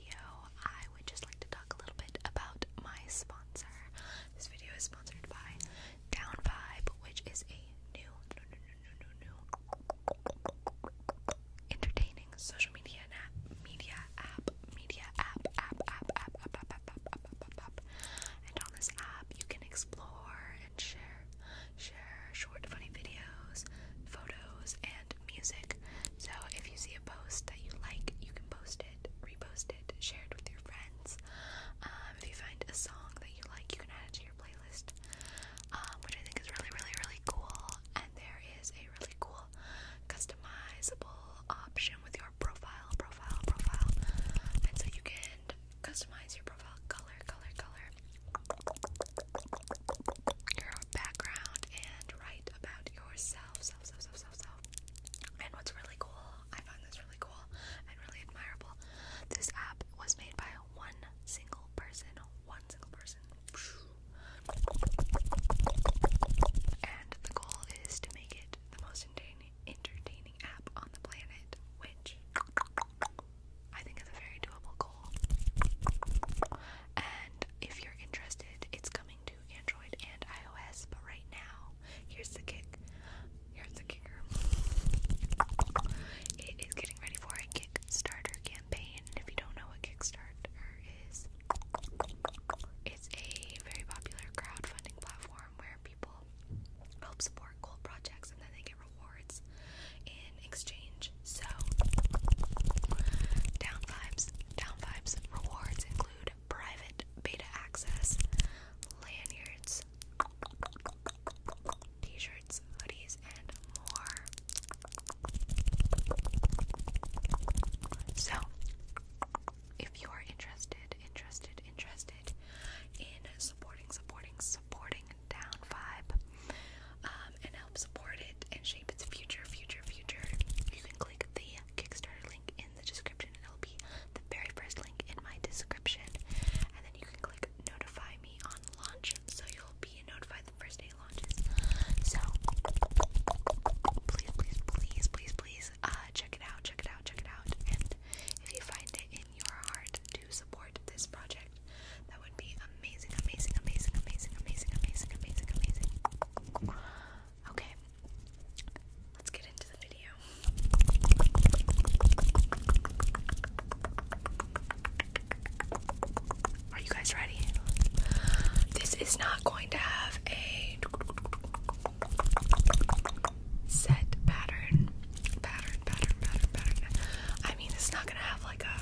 video, I would just like to talk a little bit about my sponsor. This video is sponsored by Down Vibe, which is a new, new, new, new, new entertaining social media app, media app, media app, app, app, app, app, app, app, app, app, app, app. And on this app, you can explore and share, share short, funny videos, photos, and music. So if you see a post that you like, you can post it, repost it, share it with your friends. Um, if you find a song that you like, you can add it to your playlist, um, which I think is really, really, really cool. And there is a really cool customizable option with your profile, profile, profile. And so you can customize your profile color, color, color, your background, and right about yourself, self, self, self, self, self. And what's really cool, I find this really cool and really admirable. This app was made by one single person, one single person. And the goal is to make it the most entertaining app on the planet, which I think is a very doable goal. And if you're interested, it's coming to Android and iOS. But right now, here's the kick. Here's the kicker. It is getting ready for a Kickstarter campaign. if you don't know what Kickstarter is, it's a very popular crowdfunding platform where people help support cool projects and then they get rewards in exchange. So, down vibes, down vibes rewards include private beta access, lanyards, t-shirts, hoodies, and more. So, if you are interested, interested, interested in supporting, supporting, supporting Down Vibe um, support it and shape its future, future, future, you can click the Kickstarter link in the description. It'll be the very first link in my description. And then you can click notify me on launch so you'll be notified the first day launches. So please, please, please, please, please uh, check it out, check it out, check it out. And if you find it in your heart to support this project, that would be amazing, amazing, amazing, amazing, amazing, amazing, amazing, amazing. Okay, let's get into the video. Are you guys ready? This is not going to have a set pattern. Pattern, pattern, pattern, pattern. I mean, it's not gonna have like a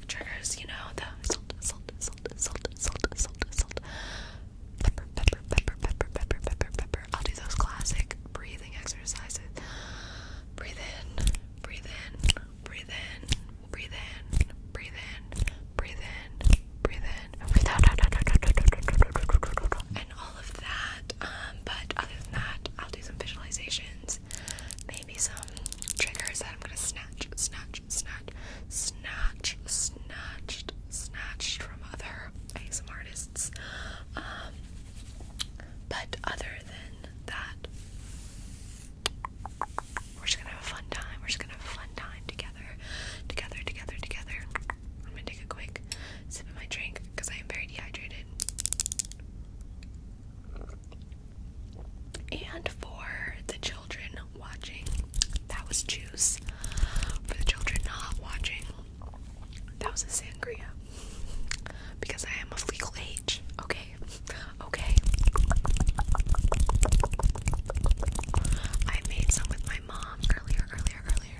classic triggers, you know, the salt, salt, salt, salt, salt, salt, salt, pepper, pepper, pepper, pepper, pepper, pepper, pepper. I'll do those classic breathing exercises. Breathe in, breathe in, breathe in, breathe in, breathe in, breathe in, breathe in, breathe out, and all of that. Um, but other than that, I'll do some visualizations maybe some triggers that I'm gonna snatch, snatch, snatch, snatch, snatched, snatched from other ASM artists. Um, but other than that, we're just gonna have a fun time. We're just gonna have a fun time together, together, together, together. I'm gonna take a quick sip of my drink because I am very dehydrated. And for the children watching, that was juice. For the children not watching, that was a sangria. Because I am of legal age. Okay. Okay. I made some with my mom earlier, earlier, earlier.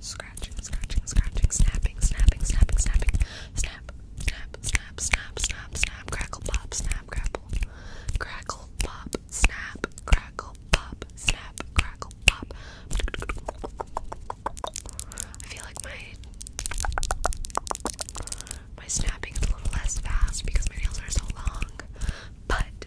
Scratching, scratching, scratching, snapping, snapping, snapping, snapping, snap, snap, snap, snap, snap, snap, crackle, pop, snap, grapple, crackle, pop, snap, crackle, pop, snap, crackle, pop. I feel like my my snapping is a little less fast because my nails are so long, but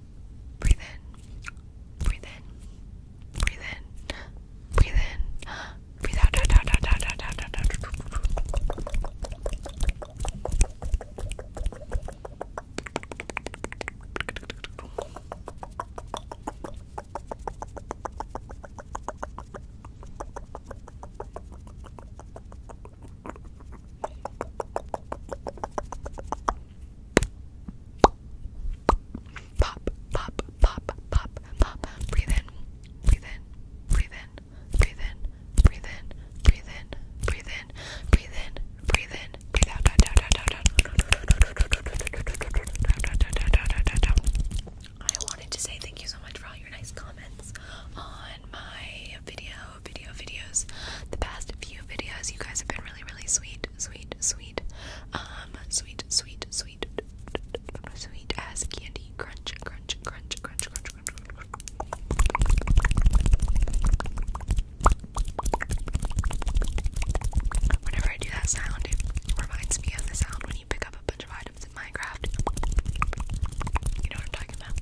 out. Breathe in. Breathe in. Breathe in. Breathe in. Breathe out. out, out, out, out, out, out, out. Breathe Pop, pop, pop, pop, pop. Breathe in, breathe in, breathe in, breathe in, breathe in, breathe in, breathe in, breathe in, breathe in, breathe out, I wanted to say thank you so much for all your nice comments on my video, video, video videos. The past few videos, you guys have been really, really sweet, sweet, sweet, um, sweet, sweet, sweet, sweet as candy. Crunch, crunch, crunch, crunch, crunch, crunch. Whenever I do that sound, it reminds me of the sound when you pick up a bunch of items in Minecraft. You know what I'm talking about?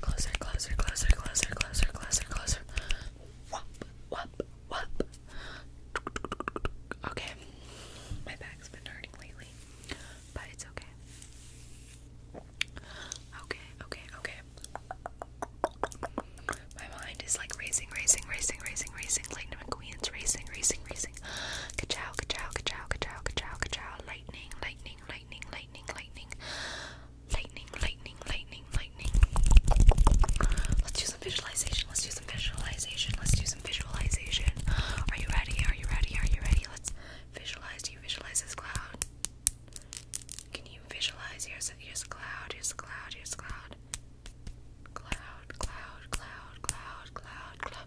Closer, closer, closer, closer, closer, closer, closer. Okay. My back's been hurting lately, but it's okay. Okay, okay, okay. My mind is like racing, racing, racing, racing, racing, racing, racing, racing. Ka-chow, ka-chow, ka-chow, ka-chow, ka-chow, ka-chow. Lightning, lightning, lightning, lightning, lightning. Lightning, lightning, lightning, lightning. Let's do some visualization. Let's do some visualization. Let's do some visualization. Are you ready? Are you ready? Are you ready? Let's visualize. you visualize this cloud? Can you visualize? Here's a, cloud. Here's a cloud. Here's a cloud, cloud, cloud, cloud, cloud, cloud.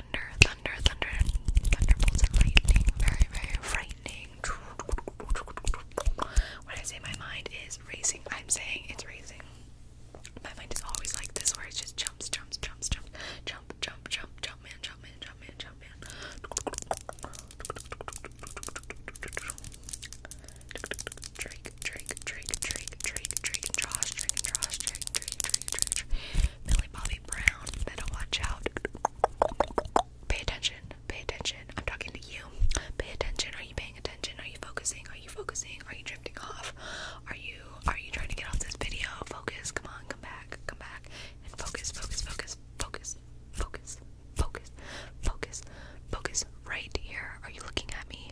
thunder, thunder, thunder, thunderbolts and lightning. Very, very frightening. When I say my mind is racing, I'm saying it's racing. My mind is always like this, where it just jumps, jumps, jumps, jump, jump, jump, jump, man, jump, man, jump, man, jump, man. Drake, Drake, Drake, Drake, Drake, Drake, and Josh, Drake and Josh, Drake, Drake, Millie Bobby Brown. Better watch out. Pay attention. Pay attention. I'm talking to you. Pay attention. Are you paying attention? Are you focusing? Are you focusing? Are you drifting off? Are you are you trying to get off this video? Focus. Come on. Come back. Come back. And focus. Focus. Focus. Focus. Focus. Focus. Focus. Focus. Right here. Are you looking at me?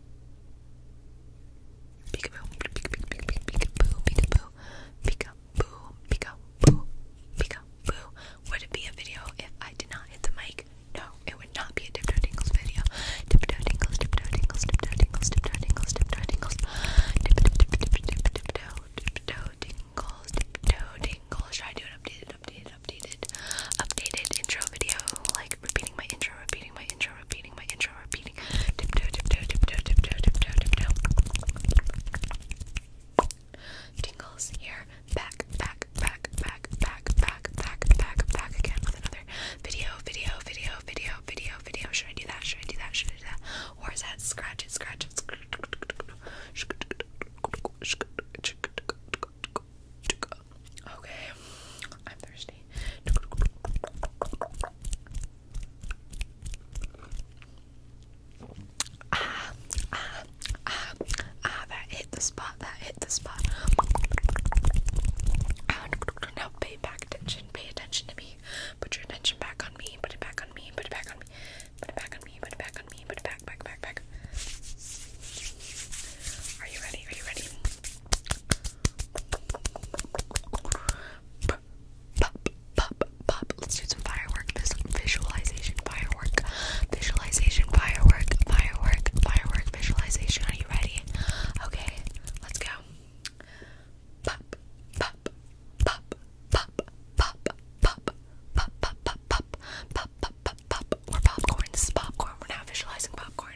Peekaboo, peekaboo, peekaboo, peekaboo, peekaboo, peekaboo, peekaboo. Would it be a video if I did not hit the mic? No, it would not be a Dipto Dingles video. Dipto Dingles, Dipto Dingles, Dipto Dingles, Dipto Dingles, Dipto Dingles. Dipto, Dipto, Dipto, Dipto Dingles, Dipto Dingles. Should I do an updated, updated, updated, updated intro video? Like repeating my intro, repeating my intro, repeating my intro, repeating. Tiptoe, tiptoe, tiptoe, tiptoe, tiptoe, tiptoe. Tingles here. Back, back, back, back, back, back, back, back, back again with another video, video, video, video, video, video. Should I do that? Should I do that? Should I do that? Or is that scratch it, scratch it? Scratch it. Okay, I'm thirsty. Ah, ah, ah, ah, that hit the spot, that hit the spot. Now pay attention, pay attention to me. Put your attention back on me, put it back on me, put it back on me, put it back on me, put it back on me, put it back, back, back, back. Are you ready? Are you ready? Pop, pop, pop. Let's do some firework. This visualization firework. Visualization firework. Firework. Firework. Visualization. Are you ready? Okay, let's go. Pop, pop, pop, pop, pop, pop, pop, pop, pop, pop, pop, pop, pop. We're popcorn. This is popcorn. We're now visualizing popcorn.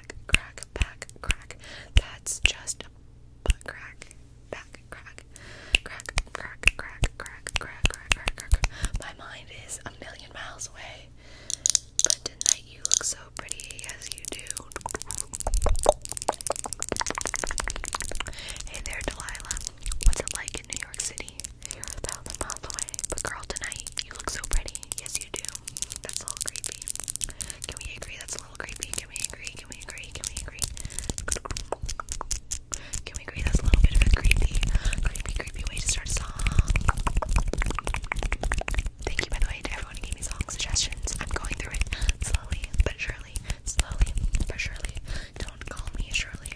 back, crack, back, crack. That's just a butt crack, back, crack, crack, crack, crack, crack, crack, crack, crack, crack. My mind is a million miles away, but tonight you look so pretty as you do. Hey there, Delilah. What's it like in New York City? a thousand miles away, but girl, tonight you look so pretty. Yes, you do. That's a little creepy. Can we agree that's a little creepy? Can we agree? Can we agree? Can we agree? Can we agree that's a little bit of a creepy, creepy, creepy way to start a song? Thank you, by the way, to everyone who gave me song suggestions. I'm going through it slowly but surely. Slowly but surely. Don't call me Shirley.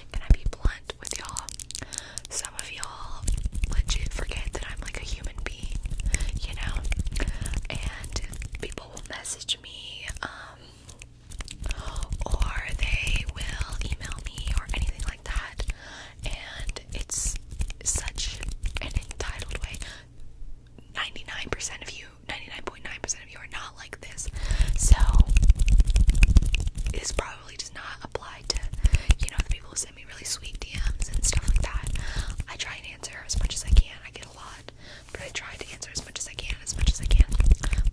can I be blunt with y'all? Some of y'all legit forget that I'm like a human being, you know? And people will message me, um, or they will email me or anything like that. And it's such an entitled way. 99% of you, 99.9% percent of you are not like this. So, it's probably probably does not apply to, you know, the people who send me really sweet DMs and stuff like that. I try and answer as much as I can. I get a lot, but I try to answer as much as I can, as much as I can.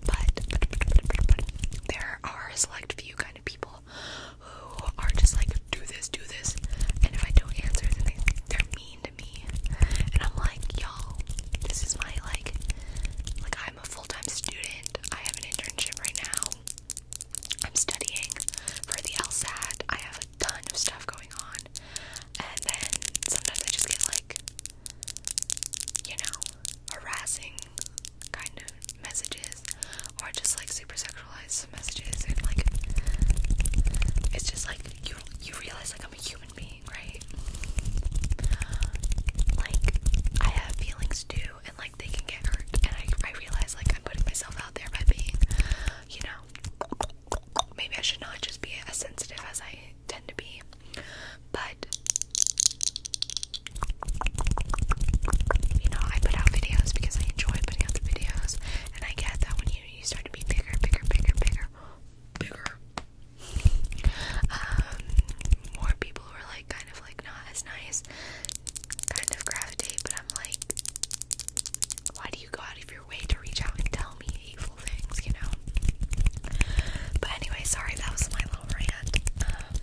but there are a select few kind of people who are just like, do this, do this. And if I don't answer, then they, they're mean to me. And I'm like, y'all, this is my, like, like I'm a full-time student. I have an internship right now. I'm studying for the LSAT. I have a ton of stuff going on. And then sometimes I just get like, you know, harassing kind of messages or just like super sexualized messages and like it's just like you you realize like I'm a human being, right? Like I have feelings too and like they can get hurt. And I, I realize like I'm putting myself out there by being, you know, maybe I should not just be as sensitive as I tend to be. But you know, I put out videos because I enjoy putting out the videos, and I get that when you you start to be bigger, bigger, bigger, bigger, bigger. Um, more people are like, kind of like not as nice kind of gravitate, but I'm like, why do you go out of your way to reach out and tell me hateful things, you know? But anyway, sorry, that was my little rant. Um,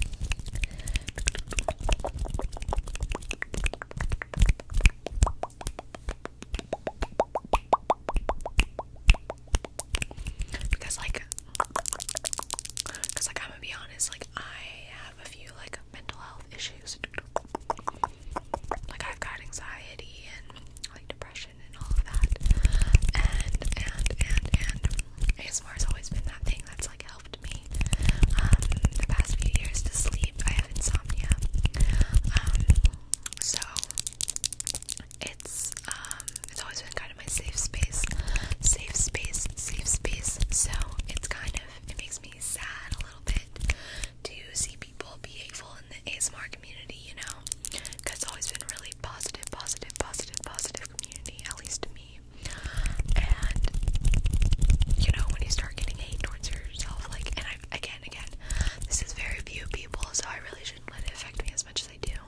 because like because like I'm gonna be honest like I have a few like mental health issues like I've got anxiety and like depression and all of that and and and and ASMR has always been that thing that's like helped me um the past few years to sleep I have insomnia um so it's um, it's always been kind of my safe space, safe space, safe space. So it's kind of it makes me sad a little bit to see people be hateful in the ASMR community, you know, because it's always been really positive, positive, positive, positive community, at least to me. And you know, when you start getting hate towards yourself, like, and I again, again, this is very few people, so I really shouldn't let it affect me as much as I do.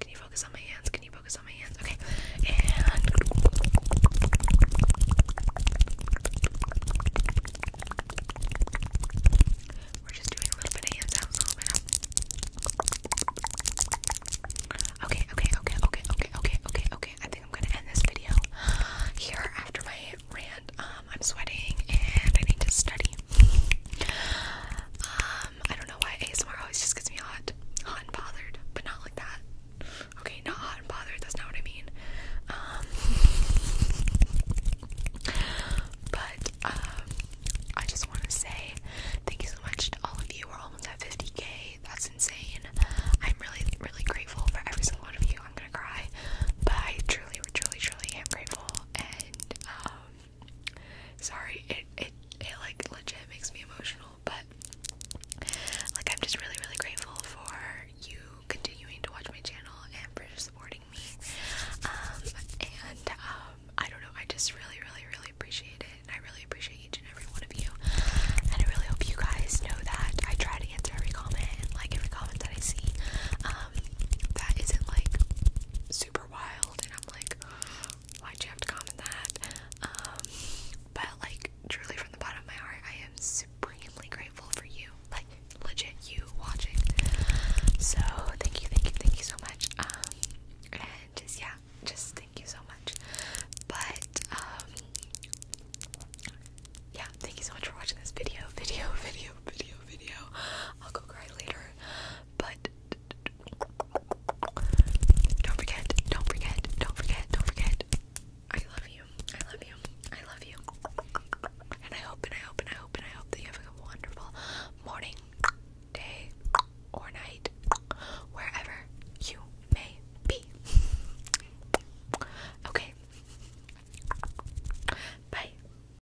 Can you focus on my hands? Can you focus on my hands? Okay. And we're just doing a little bit of hand sounds, a little bit of Okay, okay, okay, okay, okay, okay, okay, okay. I think I'm gonna end this video here after my rant. Um, I'm sweating and I need to study. Uh, um, I don't know why ASMR always just gets me hot, hot and bothered, but not like that. Okay, not hot and bothered. That's not what I mean. Um, but um, I just want to say thank you so much to all of you. We're almost at 50k. That's insane. I'm really, really grateful for every single one of you. I'm gonna cry, but I truly, truly, truly am grateful. And Sorry, it it it like legit makes me emotional, but like I'm just really really grateful for you continuing to watch my channel and for supporting me. Um, and um, I don't know, I just really really really appreciate it. I really appreciate each and every one of you. And I really hope you guys know that I try to answer every comment and like every comment that I see. Um, that isn't like super wild and I'm like, why'd you have to comment that? Um, but like truly from the bottom of my heart, I am supremely grateful for you. Like legit you watching. So thank you, thank you, thank you so much. Um and just yeah, just thank you so much. But um yeah, thank you so much for watching this video, video, video, video, video. I'll go cry later. But don't forget, don't forget, don't forget, don't forget. I love you. I love you. I love you. And I hope and I hope and I hope and I hope that you have a wonderful morning, day, or night, wherever you may be. Okay. Bye.